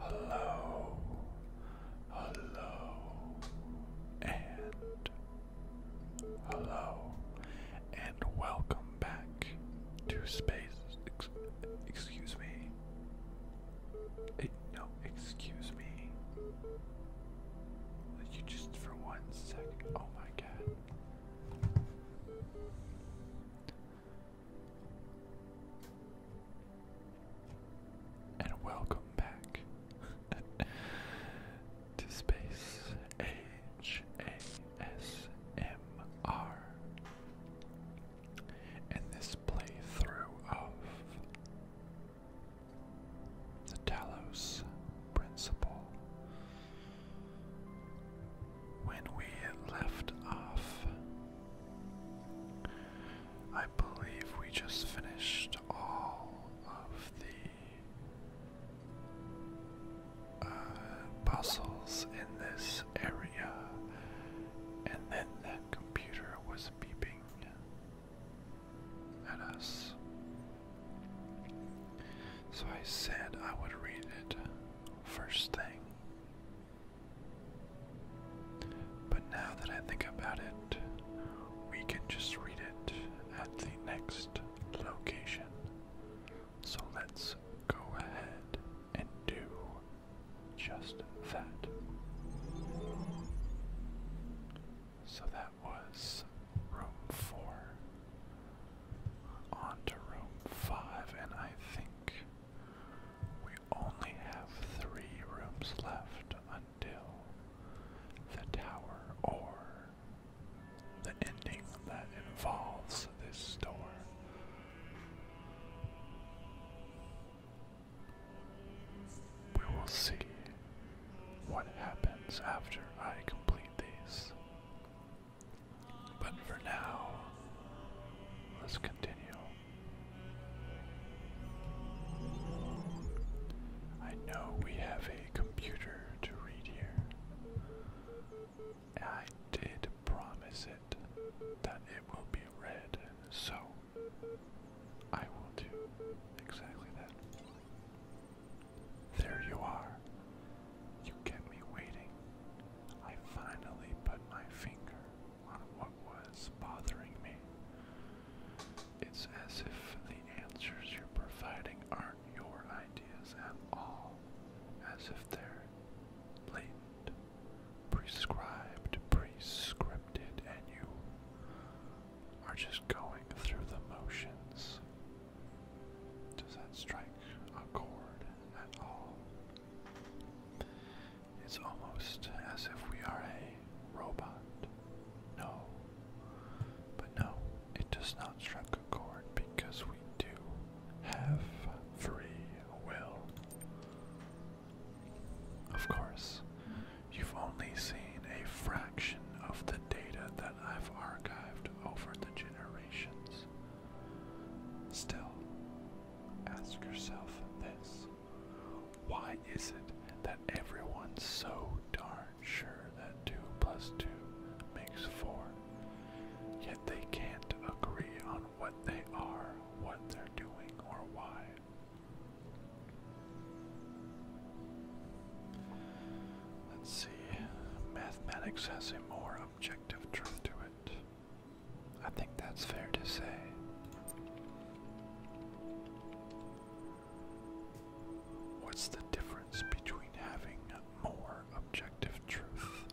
Hello, hello, and hello, and welcome back to Space. excuse me, no, excuse me. you just for one second? Oh my god. And welcome back to Space H A S M R in this playthrough of the Talos Principle. When we left off, I believe we just finished all of the uh, puzzles in this area, and then that computer was beeping at us. So I said I would read it first thing. But now that I think about it, we can just read it at the next location. So let's go ahead and do just that. So that was room four. On to room five, and I think we only have three rooms left until the tower or the ending that involves this door. We will see what happens after I complete these. But for now, let's continue. I know we have a computer to read here. I did promise it that it will be read, so I will do exactly that. There you are. You kept me waiting. I finally put my finger on what was bothering me. It's as if the answers you're providing aren't your ideas at all, as if they're blatant prescribed, prescribed, and you are just going through the motions. Does that strike a chord at all? It's almost as if we are a robot. No. But no, it does not strike a chord because we do have free will. Of course, you've only seen a fraction of the data that I've archived over the generations. Still, ask yourself this. Why is it that everyone's so darn sure that 2 plus 2 makes 4, yet they can't agree on what they are, what they're doing, or why? Let's see. Mathematics has a more objective truth to it. I think that's fair to say. What's the difference between having more objective truth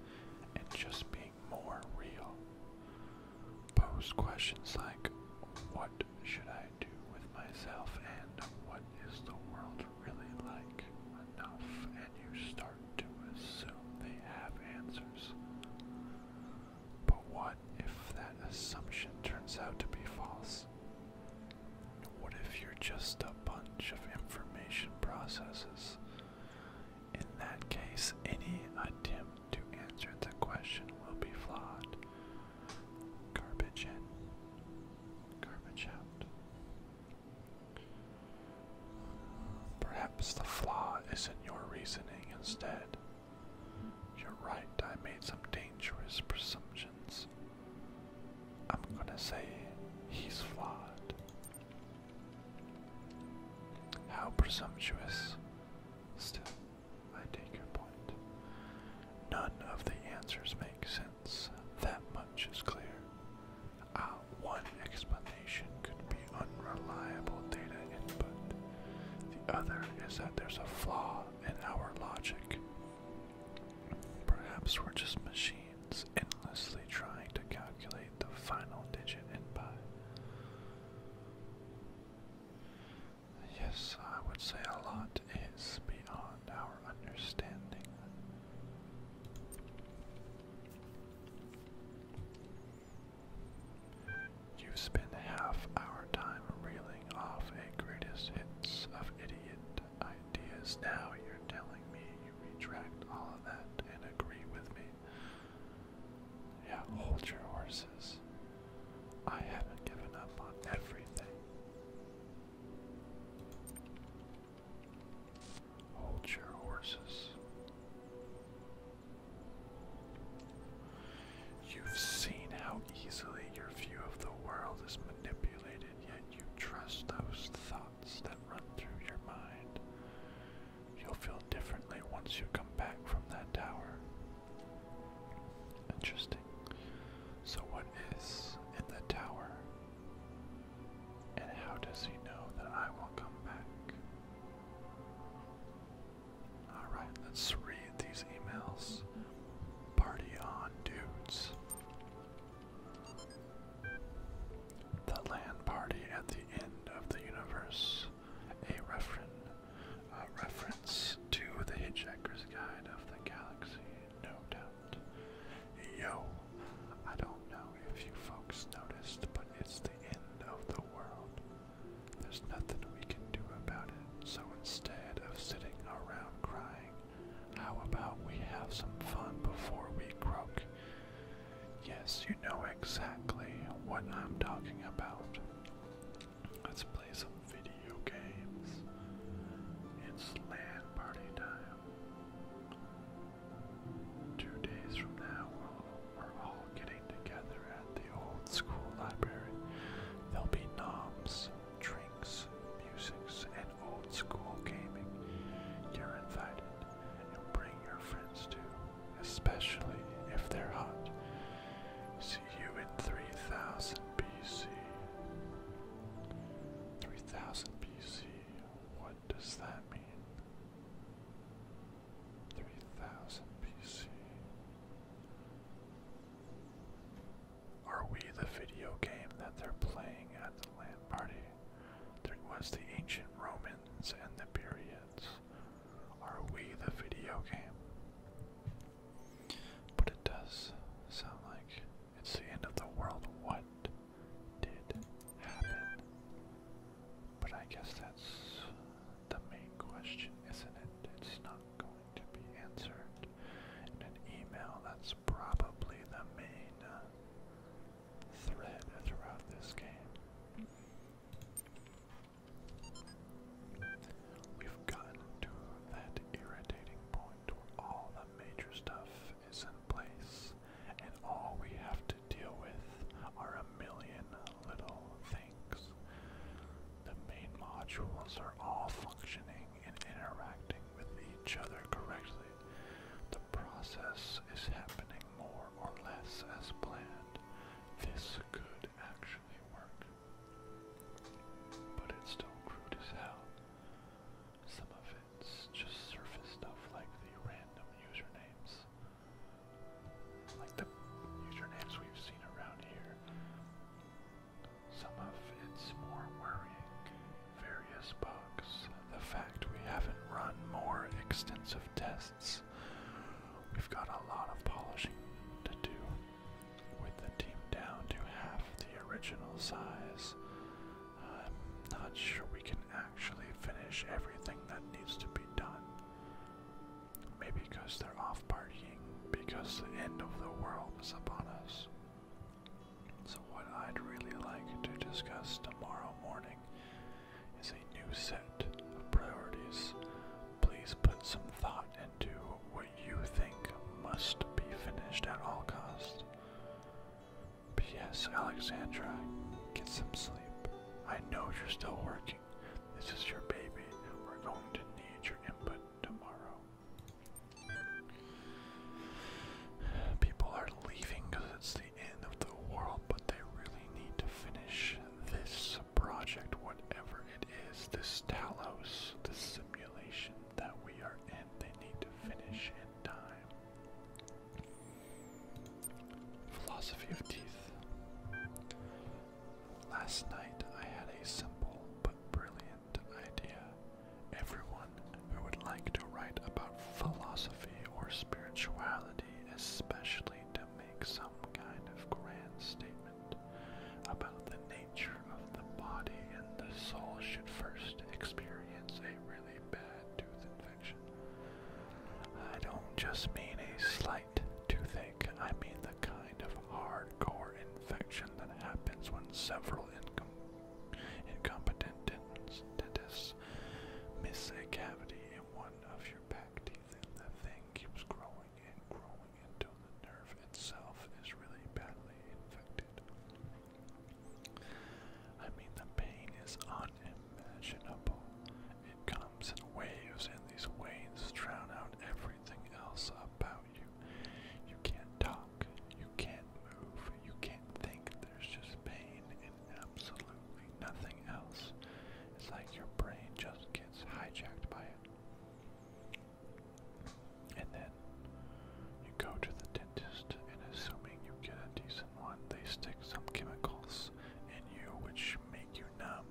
and just being more real? Post questions like, what should I do with myself and what is the world really like enough, and you start to assume they have answers. But what if that assumption turns out to be false? What if you're just a bunch of information processes? In that case, any attempt to answer the question will be flawed. Garbage in, garbage out. Perhaps the flaw is in your reasoning instead. You're right, I made some dangerous presumptions. I'm gonna say he's flawed. How presumptuous. Still, I take your point. None of the answers make sense. That much is clear. Ah, one explanation could be unreliable data input. The other is that there's a flaw in our logic. Perhaps we're just machines endlessly trying to calculate the final digit input. Yes, I would say a lot is beyond our understanding. You spend half our time reeling off a greatest hits of idiot ideas. Now you're telling me you retract all of that and agree with me. Yeah, hold your horses. I haven't given up on everything. Hold your horses. You've seen how easily your view of the world is manipulated, yet you trust those thoughts that run through your mind. You'll feel differently once you come back from that tower. Interesting. So, what is in the tower? And how does he know that I will come back? Alright, let's read these emails. Party on, dudes. The land party at the end of the universe. A Refren uh, reference to the Hitchhiker's Guide of the Galaxy, no doubt. Yo, I don't know if you folks noticed, but it's the end of the world. There's nothing we can do about it, so instead of sitting around crying, how about we have some fun before we croak? Yes, you know exactly what I'm talking about. Let's play some video games. It's LAN party time. Two days from now, we are all getting together at the old school library. There'll be knobs, drinks, musics, and old school gaming. You're invited, and you'll bring your friends too especially if they're hot. See you in 3000 BC. 3000 BC, what does that mean? 3000 BC. Are we the video game that they're playing at the land party? There was the ancient Romans and the pyramids? Are we the video game? But it does sound like it's the end of the world. What did happen? But I guess that's the main question, isn't it? It's not going to be answered in an email. That's probably the main thread throughout this game. We've gotten to that irritating point where all the major stuff is in place, and all we have to deal with are a million little things. The main modules are all functioning and interacting with each other correctly. The process is happening more or less as planned. This could actually work. But it's still crude as hell. Some of it's just surface stuff like the random usernames. Like the usernames we've seen around here. Some of it's more worrying. Various bugs. The fact we haven't run more extensive tests We've got a lot of polishing to do. With the team down to half the original size, I'm not sure we can actually finish everything that needs to be done. Maybe because they're off partying, because the end of the world is upon us. So, what I'd really like to discuss tomorrow morning is a new set of priorities. Please put some thought into what you think must be finished at all costs. P.S. Alexandra, get some sleep. I know you're still working. This is your baby. We're going to need your input tomorrow. People are leaving because it's the end of the world, but they really need to finish this project, whatever it is, this Talos, this simulation that we are in, they need to finish in time. Philosophy of Teeth. Last night I had a simple but brilliant idea. Everyone who would like to write about philosophy or spirituality, especially to me some kind of grand statement about the nature of the body and the soul should first experience a really bad tooth infection. I don't just mean a slight toothache, I mean the kind of hardcore infection that happens when several incompetent dentists miss a cavity in one of your back teeth keeps growing and growing until the nerve itself is really badly infected. I mean, the pain is unimaginable. It comes in waves, and these waves drown out everything else about you. You can't talk, you can't move, you can't think. There's just pain and absolutely nothing else. It's like your brain just can't gets hijacked by it. And then you go to the dentist, and assuming you get a decent one, they stick some chemicals in you which make you numb.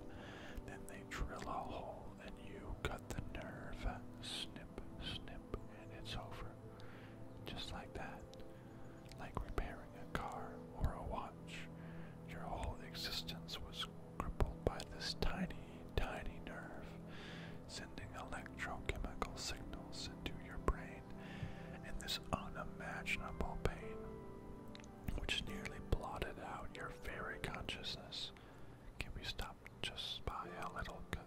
Then they drill a hole, and you cut the nerve. Snip, snip, and it's over. Just like that. Like repair a car or a watch. Your whole existence was crippled by this tiny, tiny nerve, sending electrochemical signals into your brain in this unimaginable pain, which nearly blotted out your very consciousness. Can we stop just by a little cut?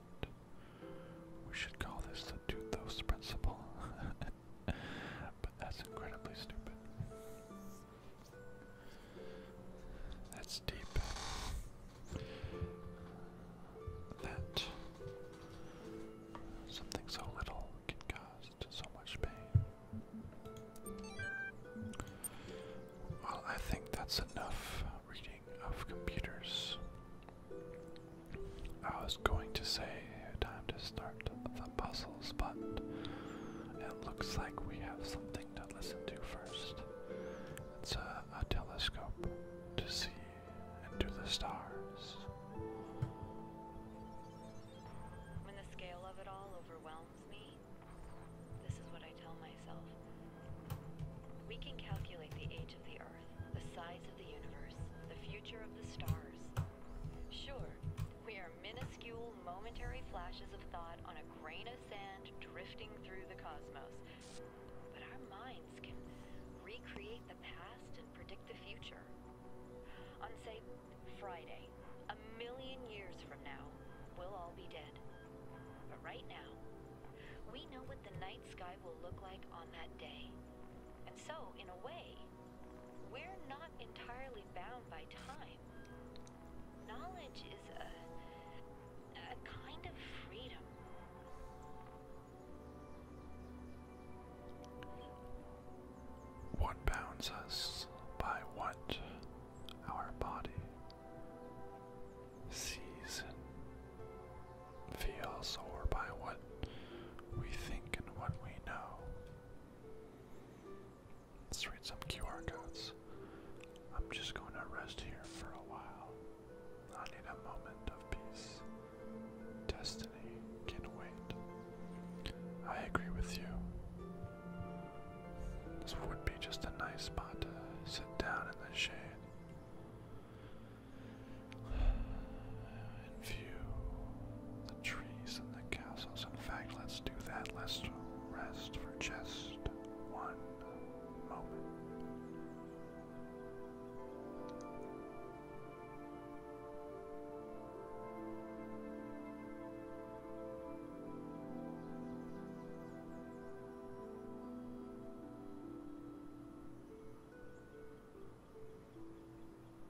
We should call this the Duthos principle. but that's incredibly stupid. That's deep. That something so little can cause so much pain. Well, I think that's enough reading of computers. I was going to say time to stop. Of the puzzles, but it looks like we have something to listen to first. It's a telescope to see into the stars. When the scale of it all overwhelms me, this is what I tell myself. We can calculate the age of the Earth, the size of the universe, the future of the stars, Sure, we are minuscule momentary flashes of thought on a grain of sand drifting through the cosmos. But our minds can recreate the past and predict the future. On, say, Friday, a million years from now, we'll all be dead. But right now, we know what the night sky will look like on that day. And so, in a way, we're not entirely bound by time. Knowledge is a, a kind of freedom. What bounds us by what our body sees and feels, or by what we think and what we know. Let's read some QR codes. I'm just going to rest here for a while. I need a moment of peace. Destiny can wait. I agree with you. This would be just a nice spot to sit down in the shade and view trees and the castles. In fact, let's do that. Let's rest for just one moment.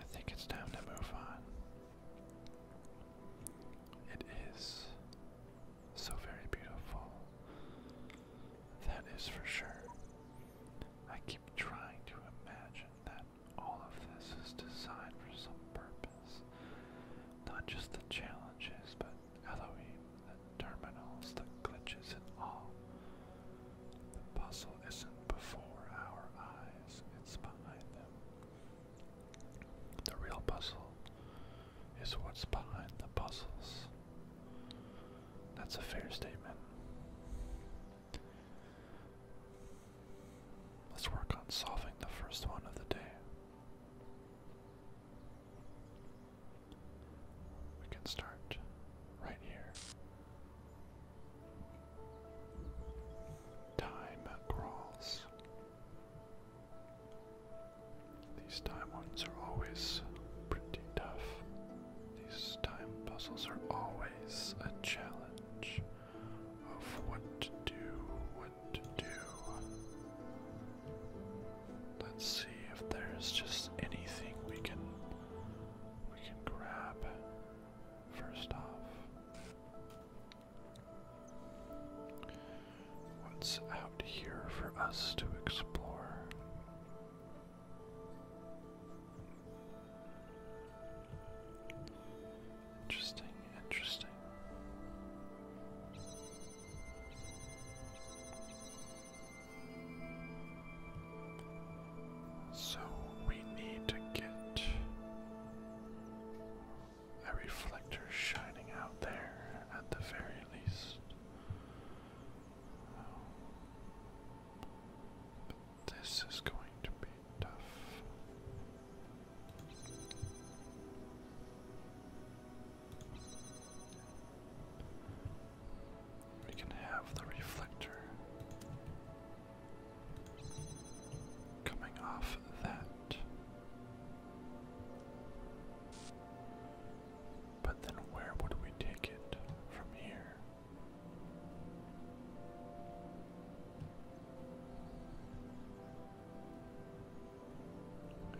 I think it's time to move on. It is so very beautiful. That is for sure. I keep trying to imagine that all of this is designed for some purpose. Not just the challenges, but Elohim, the terminals, the glitches, and all. The puzzle isn't before our eyes, it's behind them. The real puzzle is what's behind the puzzles. That's a fair statement. Let's work on solving the first one of the day. We can start right here. Time crawls. These time ones are always pretty tough. These time puzzles are always a challenge of what to do, what to do. Let's see if there's just anything we can we can grab first off. What's out here for us to explore? Interesting, interesting. So we need to get a reflector shining out there at the very least. but this is going to be we can have the reflector coming off that. But then where would we take it from here?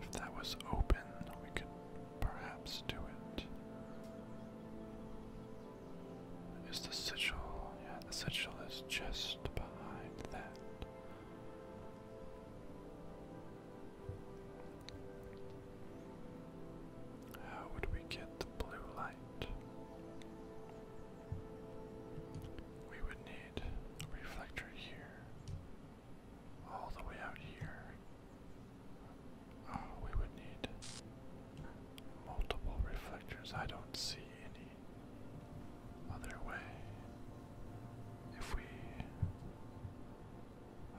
If that was open, we could perhaps do it. Is the sigil? Yeah, the sigil is just behind that. How would we get the blue light? We would need reflector here, all the way out here. Uh, we would need multiple reflectors. I don't see any other way. If we.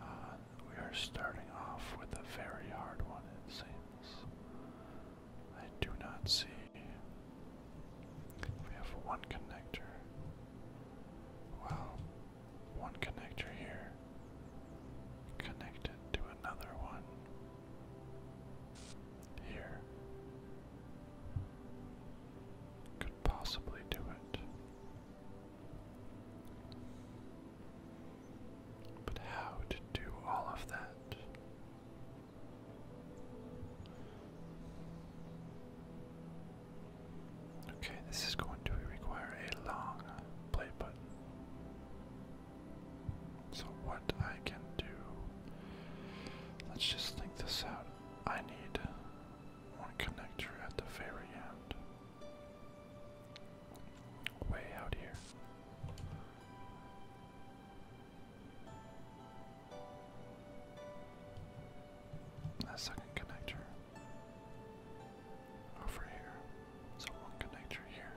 Uh, we are starting off with a very hard one, it seems. I do not see we have one connector. Wow. One connector here. Connected to another one. Here. Could possibly do it. But how to do all of that? Okay, this is going to require a long play button. So, what I can do, let's just think this out. I need one connector at the very end, way out here. That second connector over here. So one connector here,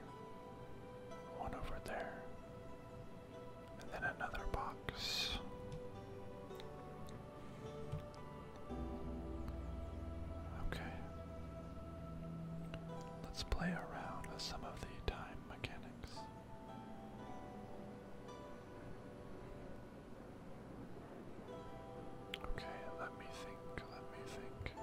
one over there, and then another box. Okay. Let's play around with some of the time mechanics. Okay, let me think, let me think.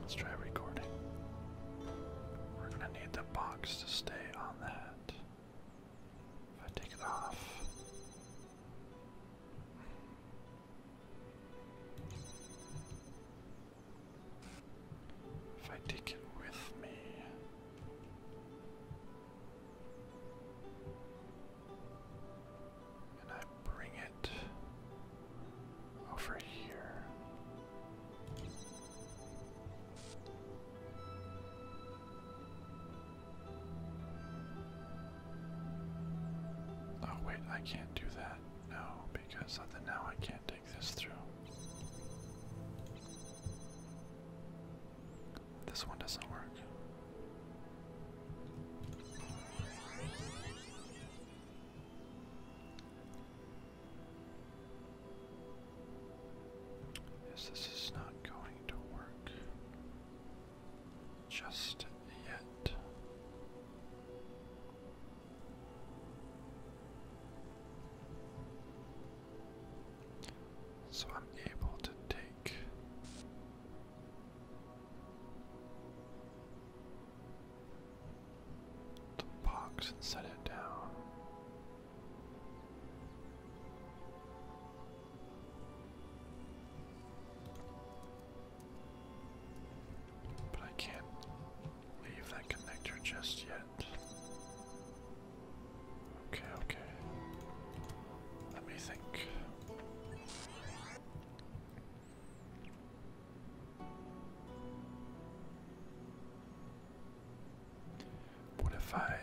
Let's try recording. We're gonna need the box to stay on that. If I take it off. If I take it with me. And I bring over here. Oh, wait, I can't do that. No, because then now I can't take this through. This one doesn't work. Yes, this is not going to work just yet. So I'm able to take the box and set it down. But I can't leave that connector just yet. Okay, okay. Let me think. What if I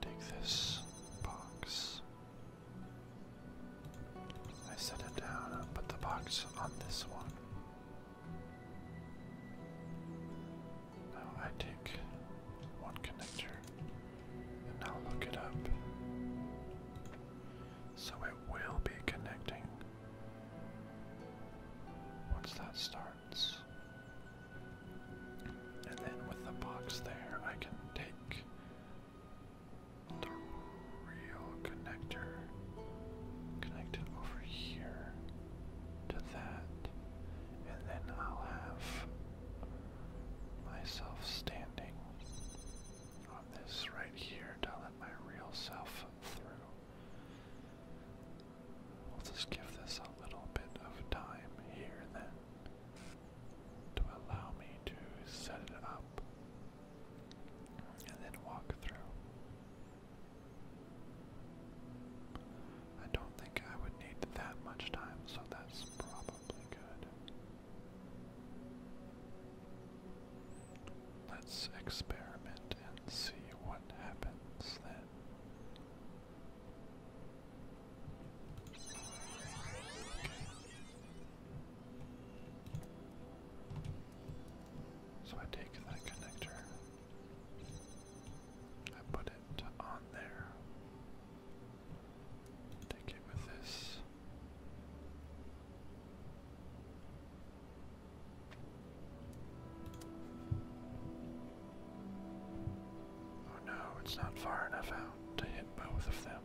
take this box? I set it down and put the box on this one. Now I take one connector and I'll it up. So it will be connecting once that starts. And then with the box there, I can take the real connector, connect it over here to that, and then I'll have myself standing on this right here to let my real self through. We'll just give this a little bit of time here then to allow me to set it up and then walk through. I don't think I would need that much time, so that's probably good. Let's experiment and see what happens then. So I take that connector, I put it on there, take it with this. Oh no, it's not far enough out to hit both of them.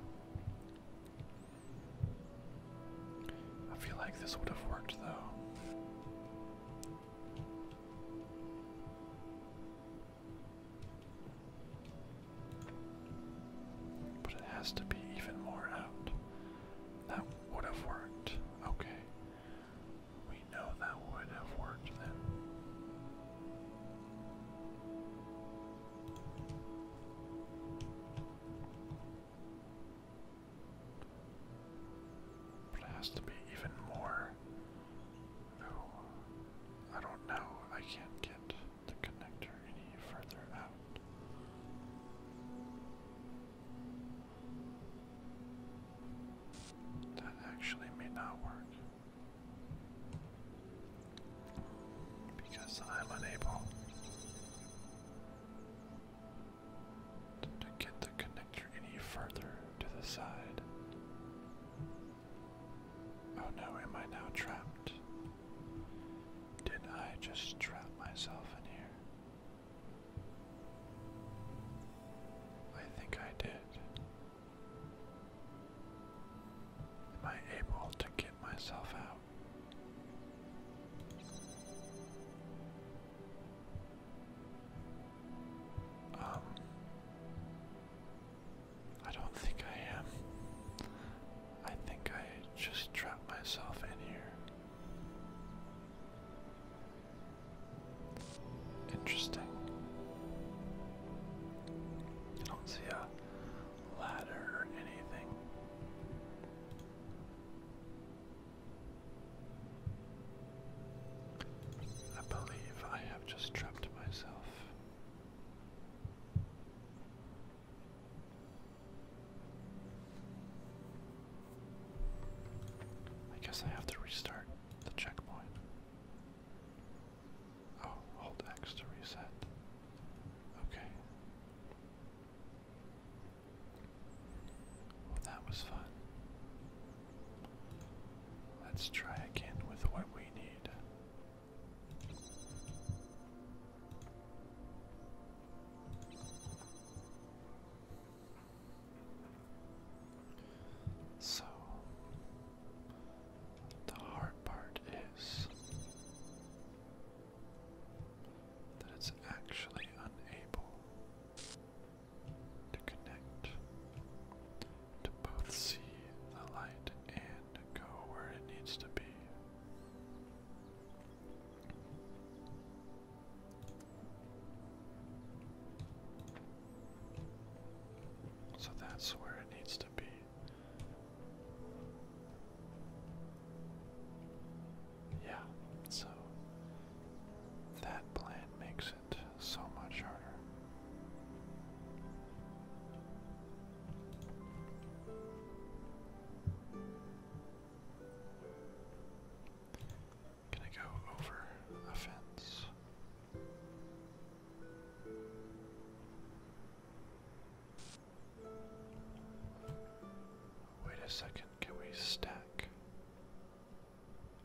I feel like this would have worked though. But it has to be even more out that would have worked. Okay. We know that would have worked then. But it has to be even more. I don't know. I can't get the connector any further out. That actually may not work. Because I'm unable to, get the connector any further to the side. Oh no, am I now trapped? Did I just trap myself in here? I think I did. Am I able to get myself out? Um, I don't think I am. I think I just trapped myself in here. Interesting. don't see a ladder or anything. I believe I have just trapped myself. I guess I have to restart the checkpoint. Oh, hold X to reset. Okay. Well, that was fun. Let's try again with what we need. So, the hard part is that it's actually unable to connect to both see the light and go where it needs to be. So that's where it needs to be. Yeah, so that plan makes it so much harder. Can I go over a fence? Wait a second, can we stack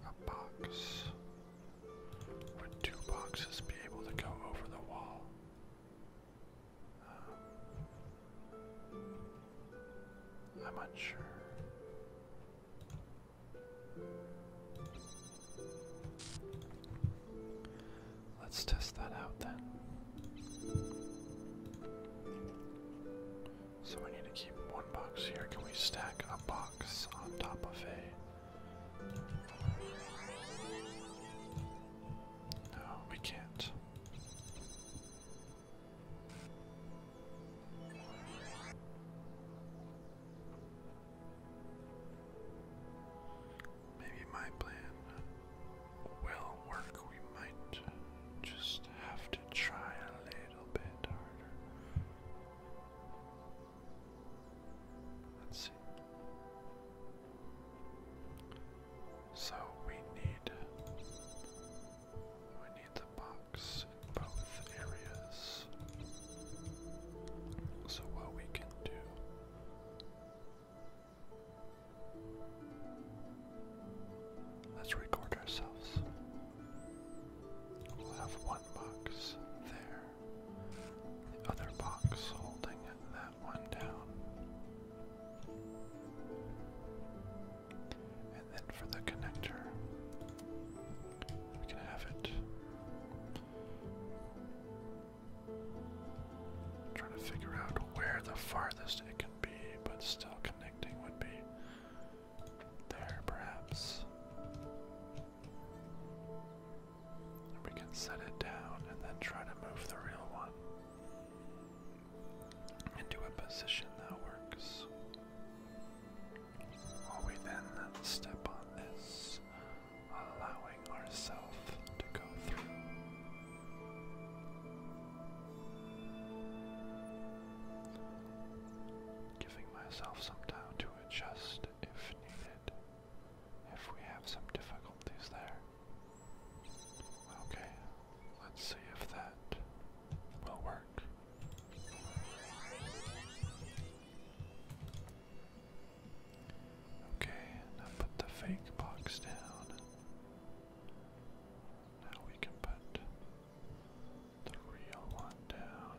a box? Would two boxes be able to go over the wall? Um, I'm unsure. Let's test that out then. So we need to keep one box here. Can we stack a box on top of a. No, we can't. Maybe my plan will work. We might just have to try a little bit harder. Let's see. So we need we need the box in both areas. So what we can do Let's record ourselves. We'll have one box there, the other box holding that one down. And then for the connector, we can have it. trying to figure out where the farthest it can be, but still connecting would be there, perhaps. we can set it down and then try to move the real one into a position that works. While we then step on this, allowing ourselves to go through. Giving myself some time to adjust if needed, if we have some difficulties there. Okay, let's see if that will work. Okay, put the fake box down. Now we can put the real one down.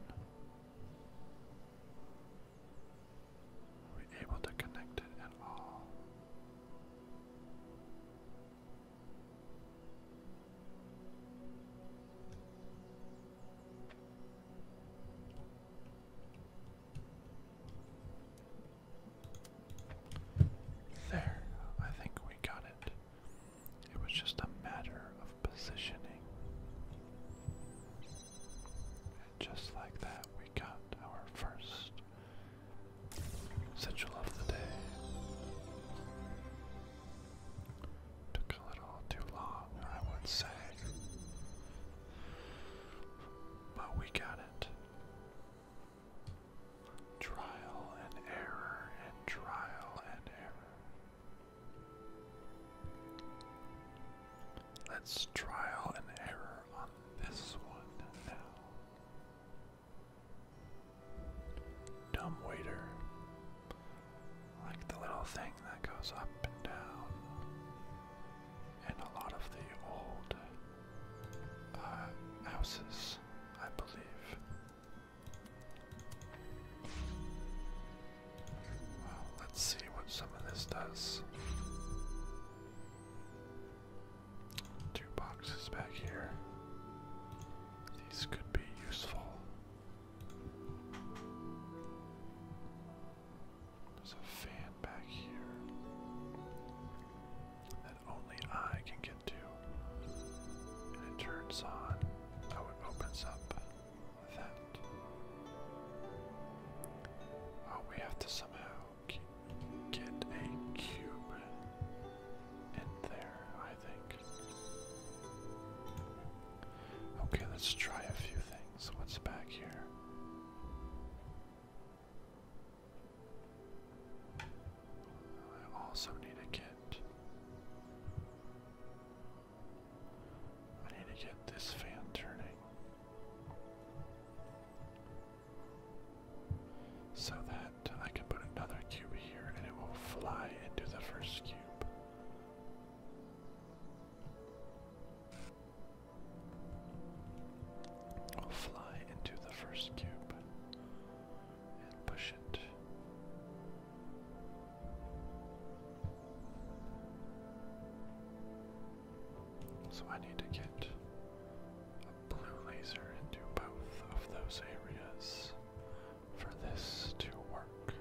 Are we able to connect it at all? There, I think we got it. It was just a matter of positioning. And just like that, we got our first Central of the day. Took a little too long, I would say. But we got it. Trial and error and trial and error. Let's trial and error on this one now. Dumb waiter. Like the little thing that goes up and down. And a lot of the old uh, houses, I believe. Well, let's see what some of this does. Two boxes back here. These could be useful. There's a fan back here that only I can get to. And it turns on. Oh, it opens up that. Oh, we have to somehow get a cube in there, I think. Okay, let's try a few things. What's back here? I also need to get. I need to get this fan turning. So that I can put another cube here and it will fly into the first cube. fly into the first cube and push it. So I need to get blue laser into both of those areas for this to work.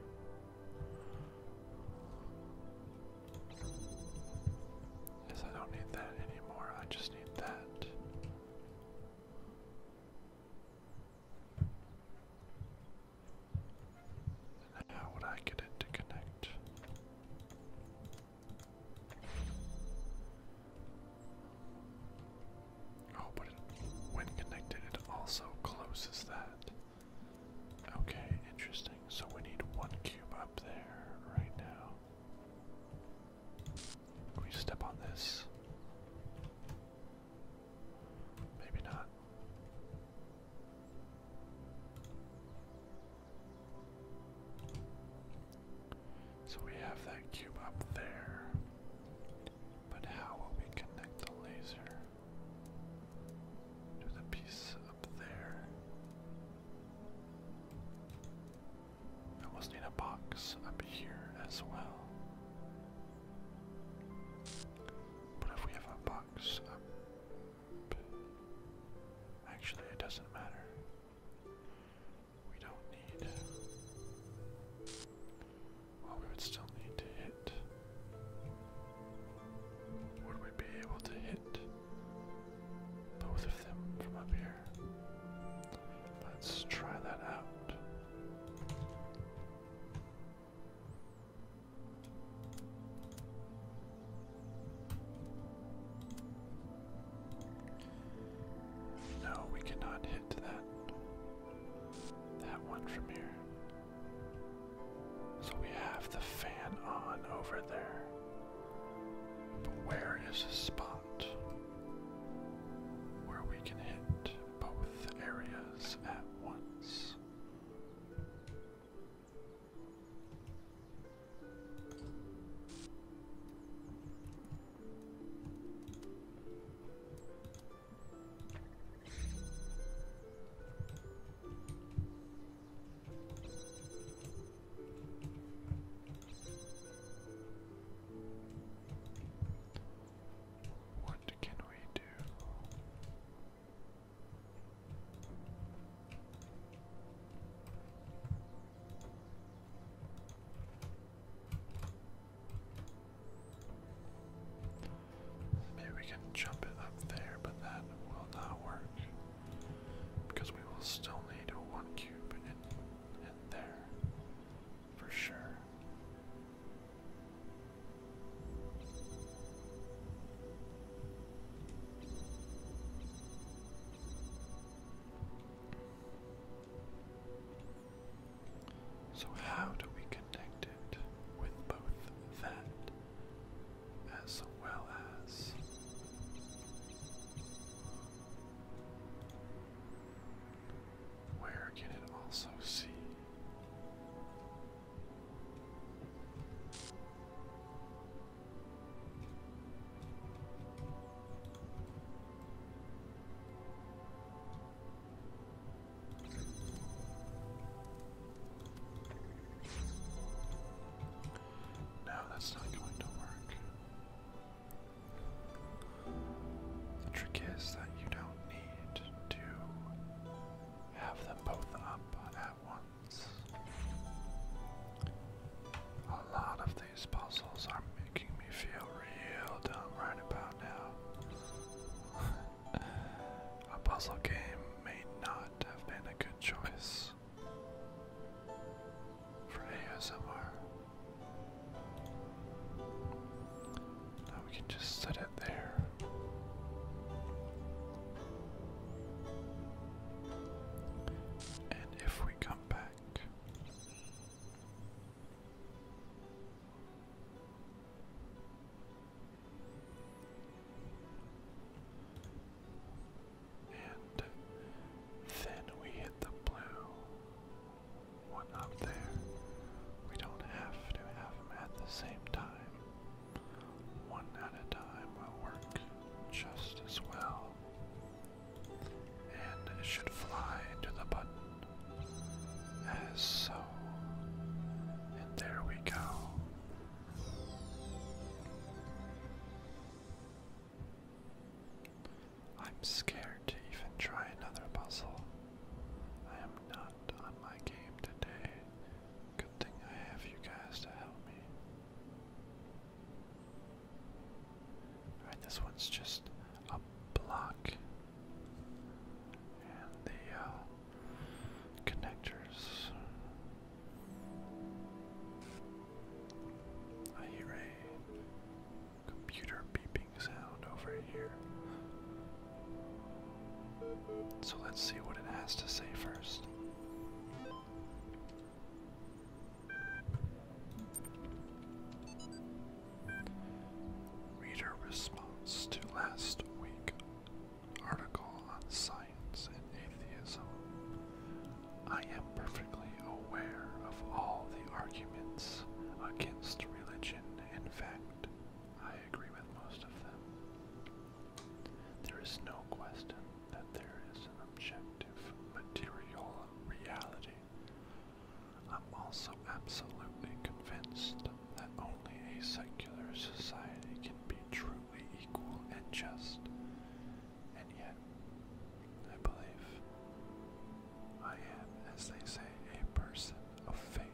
Yes, I don't need that anymore, I just need that. how would I get it to connect? Oh, but when connected, it also closes that. Okay, interesting. So we need one cube up there right now. we step on this? Maybe not. So we have that cube up there. But how will we connect the laser to the piece up there? I almost need a box up here as well. But if we have a box up. Actually, it doesn't matter we don't need. Well, we would still need to hit. Would we be able to hit both of them from up here? Let's try that out. No, we cannot hit that that one from here. So we have the fan on over there. But where is a spot where we can hit both areas at once? What can we do? Maybe we can jump it up there, but that will not work. Because we will still need a one cube in, in there, for sure. So, how do we connect it with both that as well as? Where can it also see? No, that's not going to work. The trick is that you don't need to have them both up at once. A lot of the these puzzles are making me feel real dumb right about now. a puzzle game may not have been a good choice for ASMR. Now we can just set it there. And if we come back, and then we hit the blue one up there. We don't have to have them at the same time. One at a time will work just as well and it should fly to the button, as so. And there we go. I'm scared to even try another puzzle. I am not on my game today. Good thing I have you guys to help me this one's just a block. And the uh, connectors. I hear a computer beeping sound over here. So let's see what it has to say first. Reader response to last week article on science and atheism. I am perfectly aware of all the arguments against religion. In fact, I agree with most of them. There is no question that there is an objective material reality. I'm also absolutely convinced that only a secular society can be truly equal and just. And yet, I believe I am, as they say, a person of faith.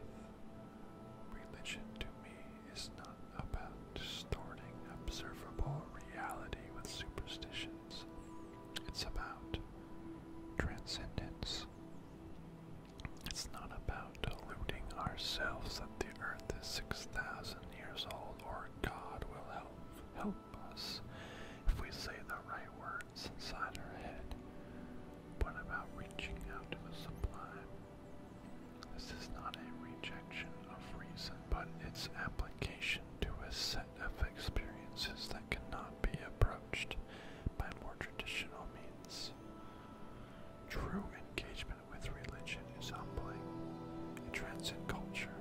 Religion to me is not about distorting observable reality with superstition. It's about transcendence. It's not about deluding ourselves that the earth is 6,000 years old or God will help, help us if we say the right words inside our head. But about reaching out to the sublime. This is not a rejection of reason, but its application to a set of experiences that cannot be approached by more traditional means. True engagement with religion is humbling. It transcends culture,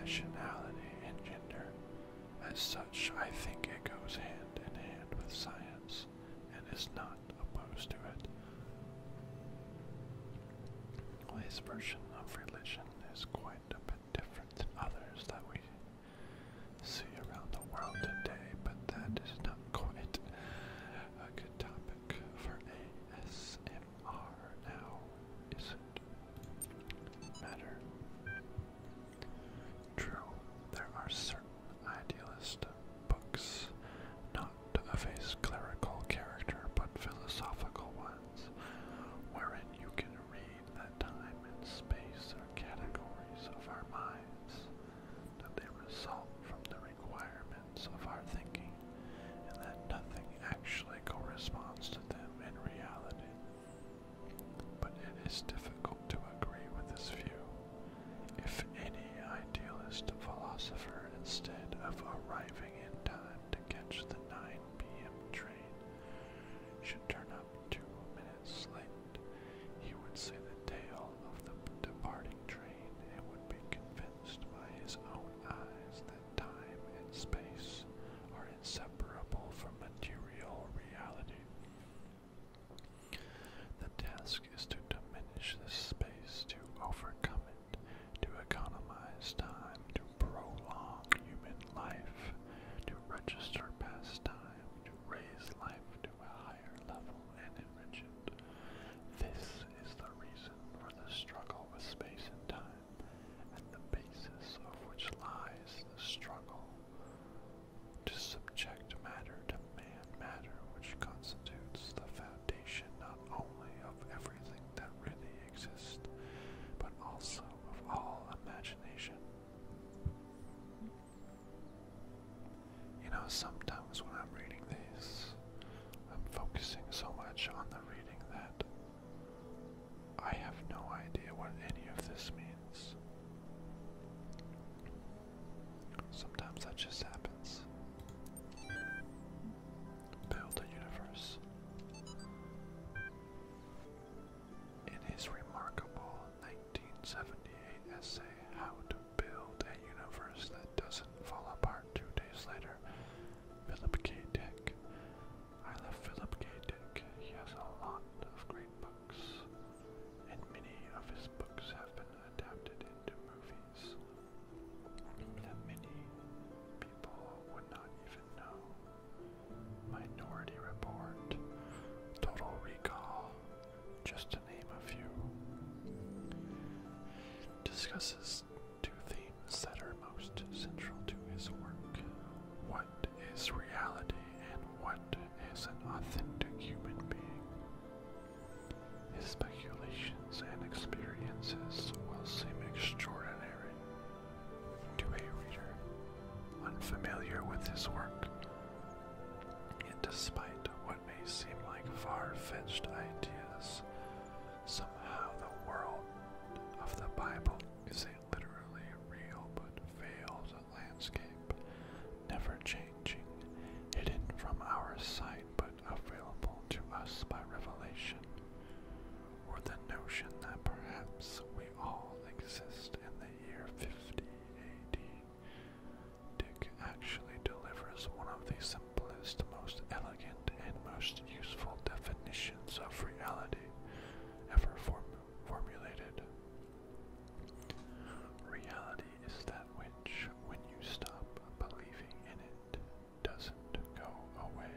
nationality, and gender. As such, I think it goes hand in hand with science and is not opposed to it. Well, version of religion is quite kind bit different than others that we see around the world today, but that is not quite a good topic for ASMR now, is it? Matter. True, there are certain idealist books, not of a clerical character, but philosophical one, wherein you can read that time and space are categories of our minds, that they result from the requirements of our thinking, and that nothing actually corresponds to them in reality. But it is difficult to agree with this view. If any idealist philosopher, instead of arriving in time to catch the nine p.m. train should turn up two minutes late, he would see the tail of the departing train and would be convinced by his own eyes that time and space are inseparable from material reality. The task is to diminish the space to overcome it to economize time, to prolong human life, to register past time, to raise life to a higher level and enrich it. This is the reason for the struggle with space and time, and the basis of which lies the struggle to subject matter to man matter, which constitutes the foundation not only of everything that really exist, but also of all imagination. You know, sometimes when I'm reading these, I'm focusing so much on the reading that I have no idea what any of this means. Sometimes that just happens build the universe. In his remarkable 1978 essay, How to Build a Universe That Doesn't Fall Apart Two Days Later, Philip K. Dick. I love Philip K. Dick. He has a lot of great books, and many of his books have been adapted into movies. The many would not even know. Minority Report, Total Recall, just to name a few. Discusses two themes that are most central to his work. What is reality and what is an authentic human being? His speculations and experiences will seem extraordinary to a reader unfamiliar with his work, and despite what may seem like far fetched ideas, somehow the world of the Bible is a literally real but veiled landscape, never changing, hidden from our sight but available to us by revelation or the notion that perhaps we all exist in the year 50 AD. Dick actually delivers one of the simplest, most elegant, and most useful definitions of reality ever formulated. Reality is that which, when you stop believing in it, doesn't go away.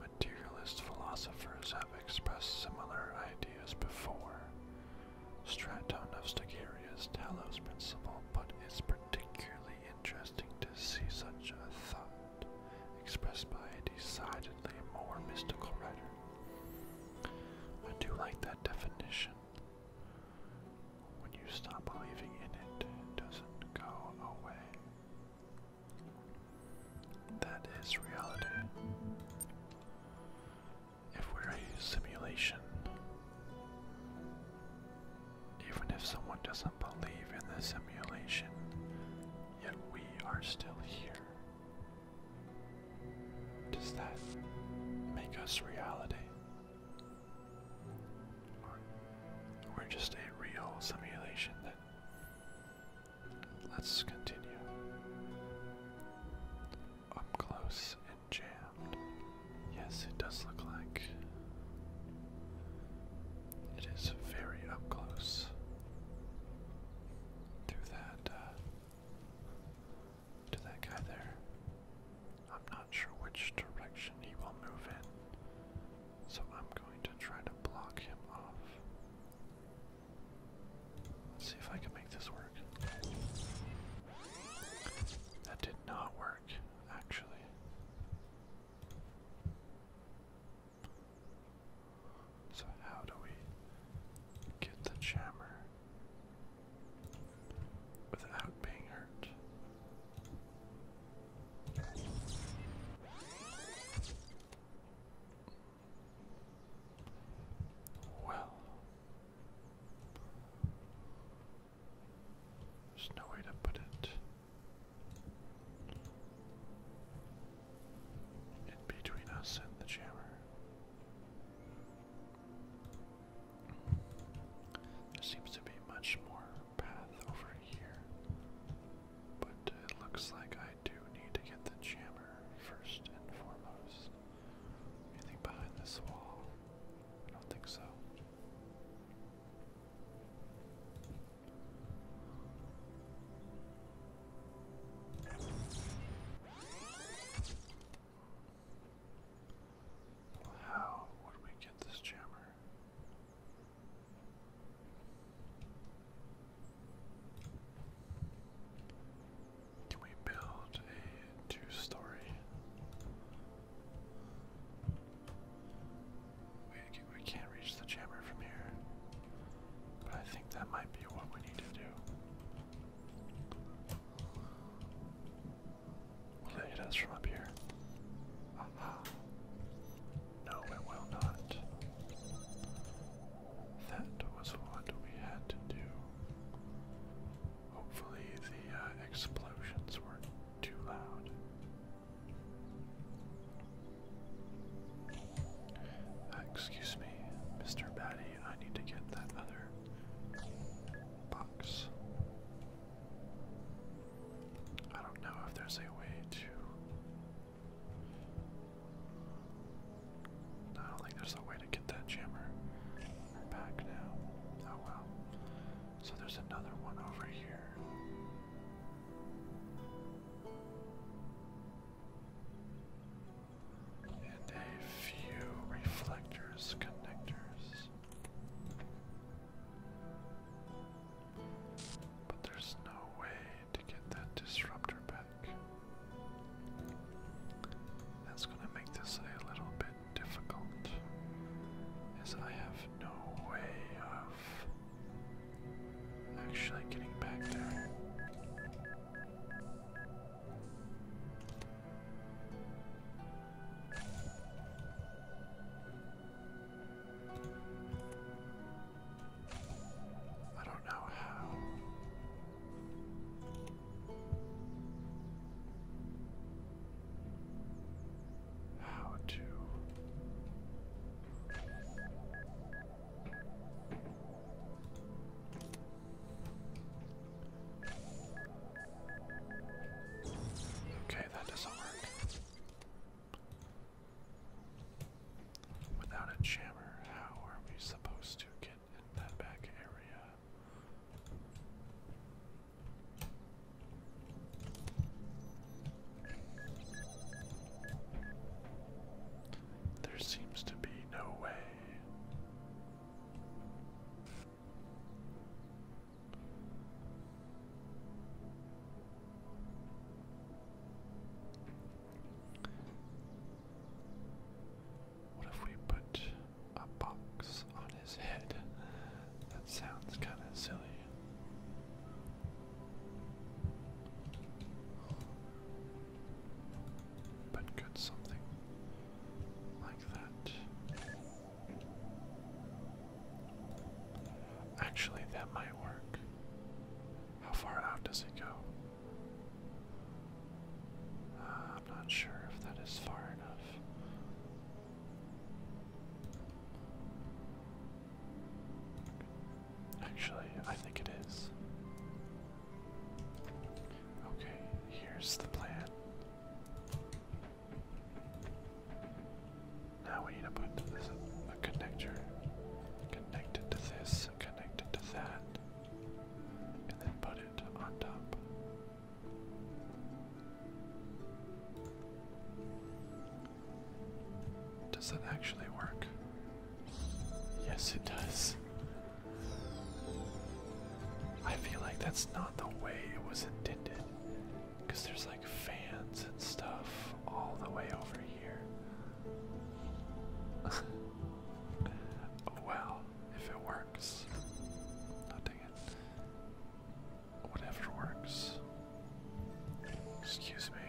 Materialist philosophers have expressed similar ideas before. Straton Talos principle, but it's particularly interesting to see such a thought expressed by a decidedly more mystical writer. I do like that definition. When you stop believing in it, it doesn't go away. That is reality. If we're a simulation, even if someone doesn't believe in the simulation, yet we are still here. Does that make us reality? Or, or just a real simulation that. Let's continue. Up close and jammed. Yes, it does look like it is very up close to that uh, to that guy there. I'm not sure which direction he will move in, so I'm going to try to block him off. Let's see if I can make this work. That did not work, actually. So, how do we get the jammer without being hurt? Well, there's no way to put it in between us and the jammer. There seems to be much more path over here. But it looks like I do need to get the jammer first and foremost. Anything behind this wall? I don't think so. how would we get this jammer? Can we build a two story? We, we can't reach the jammer from here, but I think that might be what we need to do. Will it hit us from up here? No, it will not. That was what we had to do. Hopefully, the uh, explosions weren't too loud. Uh, excuse me, Mr. Batty, I need to get that other box. I don't know if there's a way to. I don't think there's a way to get that jammer back now. Oh well. So there's another one over here. And a few reflectors, connectors. But there's no way to get that disruptor back. That's gonna make this a little bit difficult, as I have no way of actually getting back there. I don't know how. How to. Okay, that doesn't work. Without a jammer, how are we supposed to get in that back area? There seems to be no way. What if we put a box on his head? That sounds kind of silly. But could something like that Actually, that might work. How far out does it go? Uh, I'm not sure if that is far enough. Actually, I think it is. Okay, here's the plan. Now we need to put a connector connected to this, connected to that, and then put it on top. Does that actually work? Yes, it does. I feel like that's not the way it was intended. Because there's like fans and stuff all the way over here. well, if it works. Oh, Whatever works. Excuse me.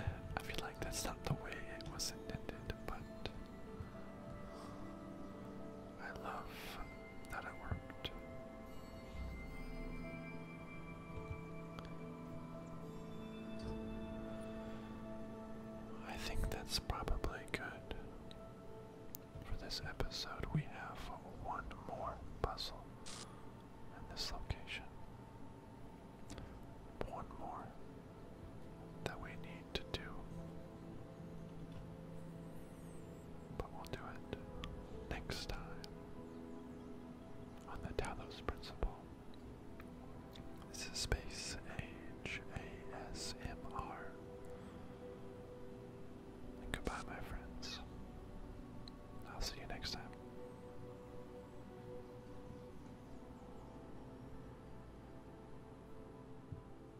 I feel like that's not the way it was intended, but. I love that it worked. I think that's probably good. For this episode, we have one more puzzle in this location. One more that we need to do. But we'll do it next time on the Talos Principle. This is Space H A S M R. goodbye, my friends. I'll see you next time.